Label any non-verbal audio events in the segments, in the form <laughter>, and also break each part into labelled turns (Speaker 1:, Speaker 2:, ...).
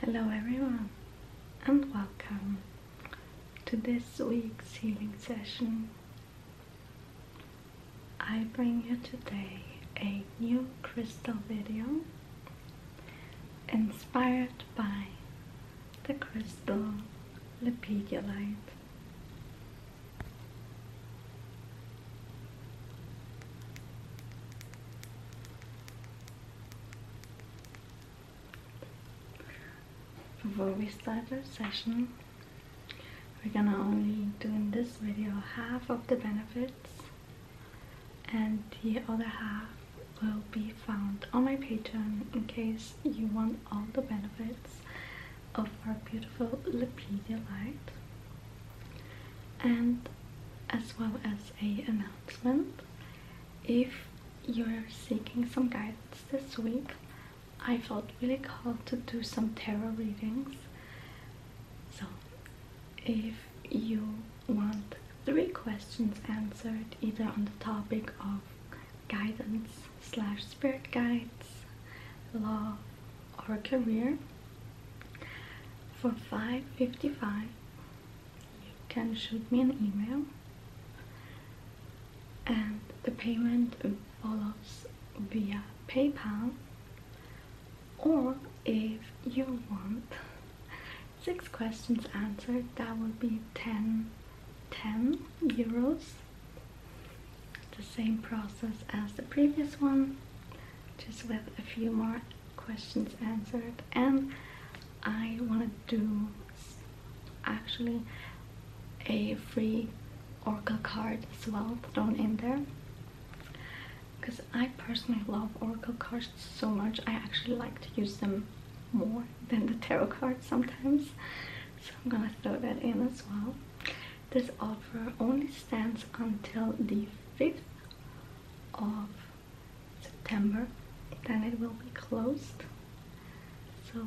Speaker 1: Hello everyone and welcome to this week's healing session. I bring you today a new crystal video inspired by the crystal lepidolite. Before we start our session, we're gonna only do in this video half of the benefits and the other half will be found on my Patreon in case you want all the benefits of our beautiful Lapedia light. And as well as a announcement. If you're seeking some guidance this week, I felt really called to do some tarot readings. So if you want three questions answered either on the topic of guidance slash spirit guides, love or career for 5.55 you can shoot me an email and the payment follows via PayPal or if you want six questions answered that would be 10 10 euros the same process as the previous one just with a few more questions answered and I want to do actually a free Oracle card as well thrown in there because I personally love Oracle cards so much I actually like to use them more than the tarot cards sometimes so I'm gonna throw that in as well this offer only stands until the 5th of September then it will be closed so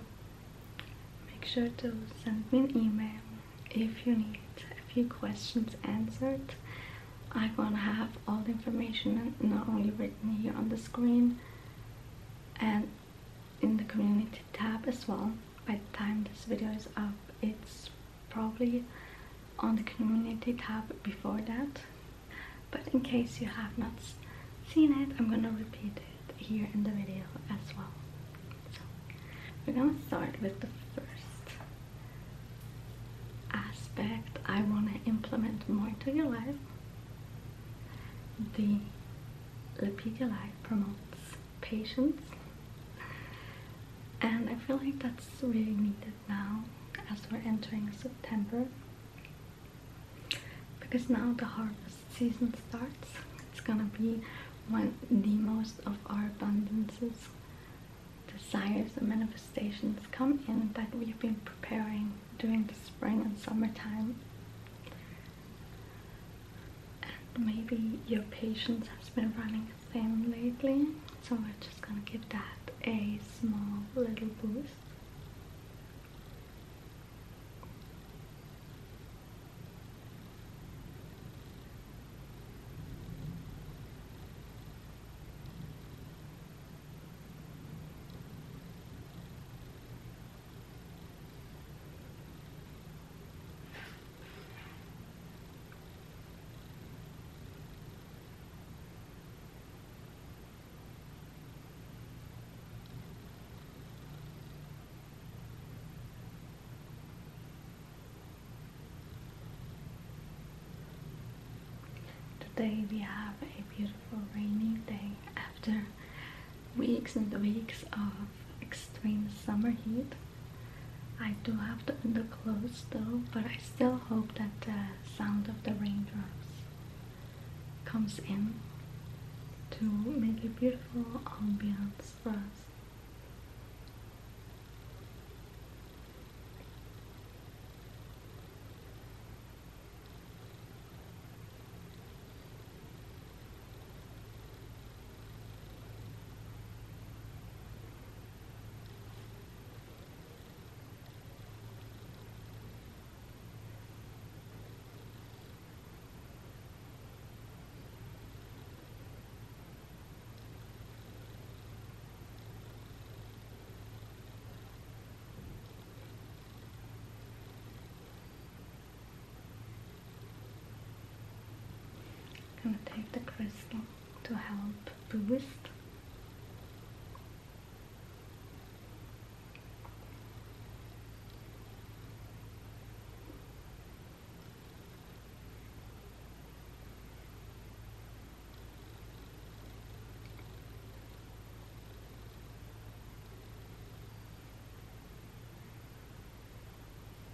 Speaker 1: make sure to send me an email if you need a few questions answered I'm gonna have all the information not only written here on the screen and in the community tab as well by the time this video is up it's probably on the community tab before that but in case you have not seen it I'm gonna repeat it here in the video as well so we're gonna start with the first aspect I want to implement more into your life the Lepidia Life promotes patience and I feel like that's really needed now as we're entering September because now the harvest season starts it's gonna be when the most of our abundances desires and manifestations come in that we've been preparing during the spring and summertime maybe your patience has been running lately so we're just gonna give that a small little boost Today we have a beautiful rainy day after weeks and weeks of extreme summer heat I do have the underclothes though, but I still hope that the sound of the raindrops comes in to make a beautiful ambiance for us. I'm going to take the crystal to help boost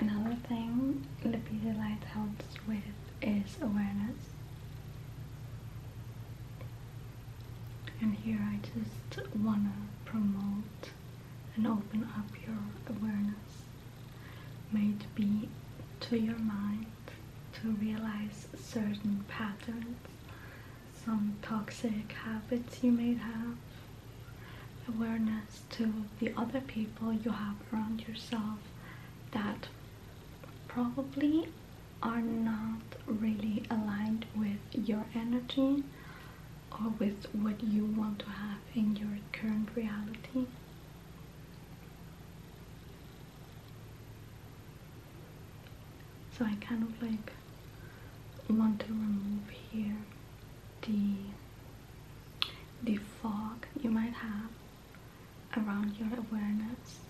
Speaker 1: Another thing, the busy light helps with is awareness. And here I just wanna promote and open up your awareness. May it be to your mind to realize certain patterns, some toxic habits you may have, awareness to the other people you have around yourself that probably are not really aligned with your energy or with what you want to have in your current reality. So I kind of like want to remove here the the fog you might have around your awareness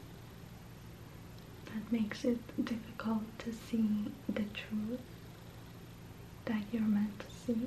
Speaker 1: that makes it difficult to see the truth that you're meant to see.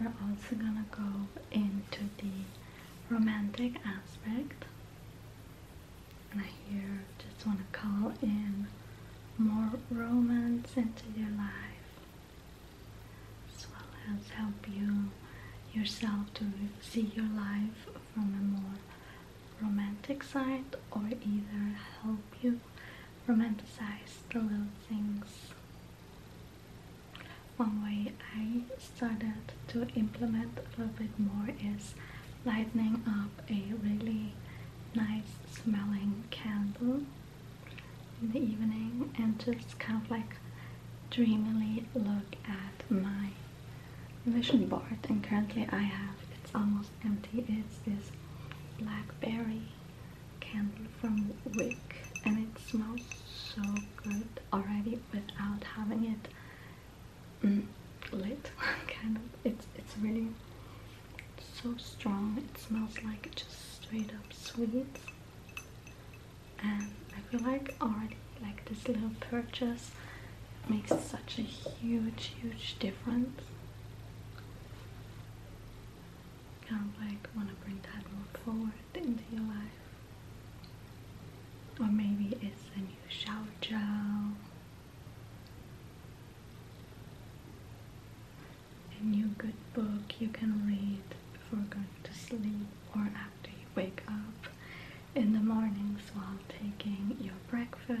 Speaker 1: We're also gonna go into the romantic aspect and I here just want to call in more romance into your life, as well as help you yourself to see your life from a more romantic side, or either help you romanticize the little things. One way I started to implement a little bit more is lighting up a really nice smelling candle in the evening and just kind of like dreamily look at my vision board and currently I have it's almost empty it's this blackberry candle from Wick and it smells so good already without having it mm, lit candle. <laughs> It's it's really so strong. It smells like just straight up sweet, and I feel like already like this little purchase makes such a huge huge difference. Kind of like want to bring that more forward into your life, or maybe it's a new shower gel. A new good book you can read before going to sleep or after you wake up in the mornings while taking your breakfast.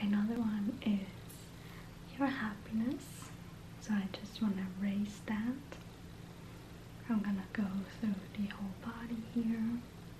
Speaker 1: Another one is your happiness. So I just want to raise that. I'm gonna go through the whole body here.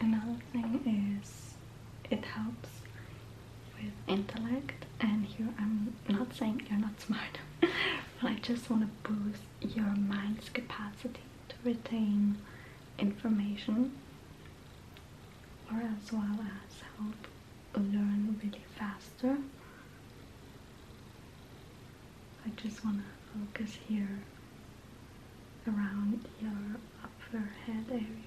Speaker 1: Another thing is it helps with intellect and here I'm not saying you're not <laughs> smart but I just want to boost your mind's capacity to retain information or as well as help learn really faster. I just want to focus here around your upper head area.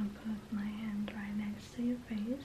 Speaker 1: I'll put my hand right next to your face.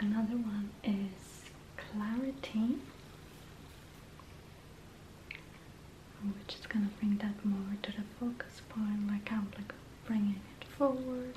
Speaker 1: Another one is clarity, which is going to bring that more to the focus point, like I'm like bringing it forward.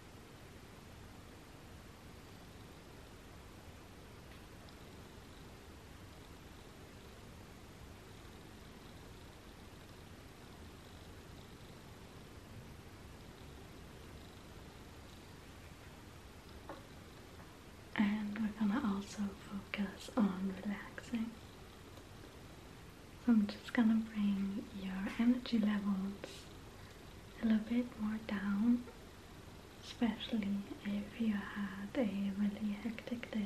Speaker 1: And we're going to also focus on relaxing. So I'm just gonna bring your energy levels a little bit more down, especially if you had a really hectic day.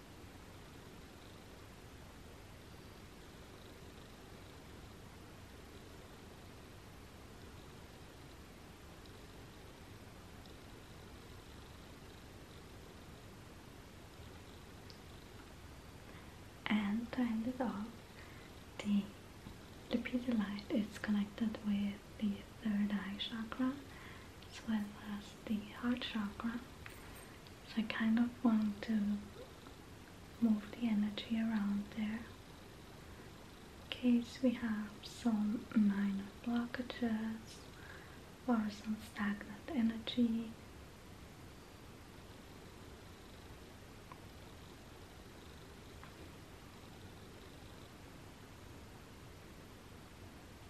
Speaker 1: and to end it off the Lupita light is connected with the third eye chakra as well as the heart chakra so I kind of want to move the energy around there in case we have some minor blockages or some stagnant energy.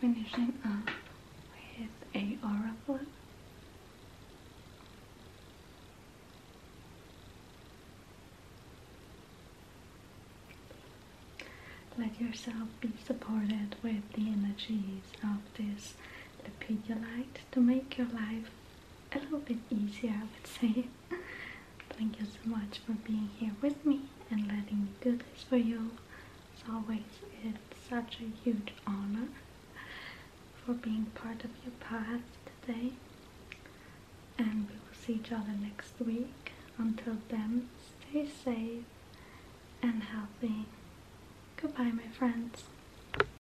Speaker 1: Finishing up with a aura flow. Let yourself be supported with the energies of this lepidolite to make your life a little bit easier, I would say. Thank you so much for being here with me and letting me do this for you. As always, it's such a huge honor for being part of your path today. And we will see each other next week. Until then, stay safe and healthy. Goodbye, my friends.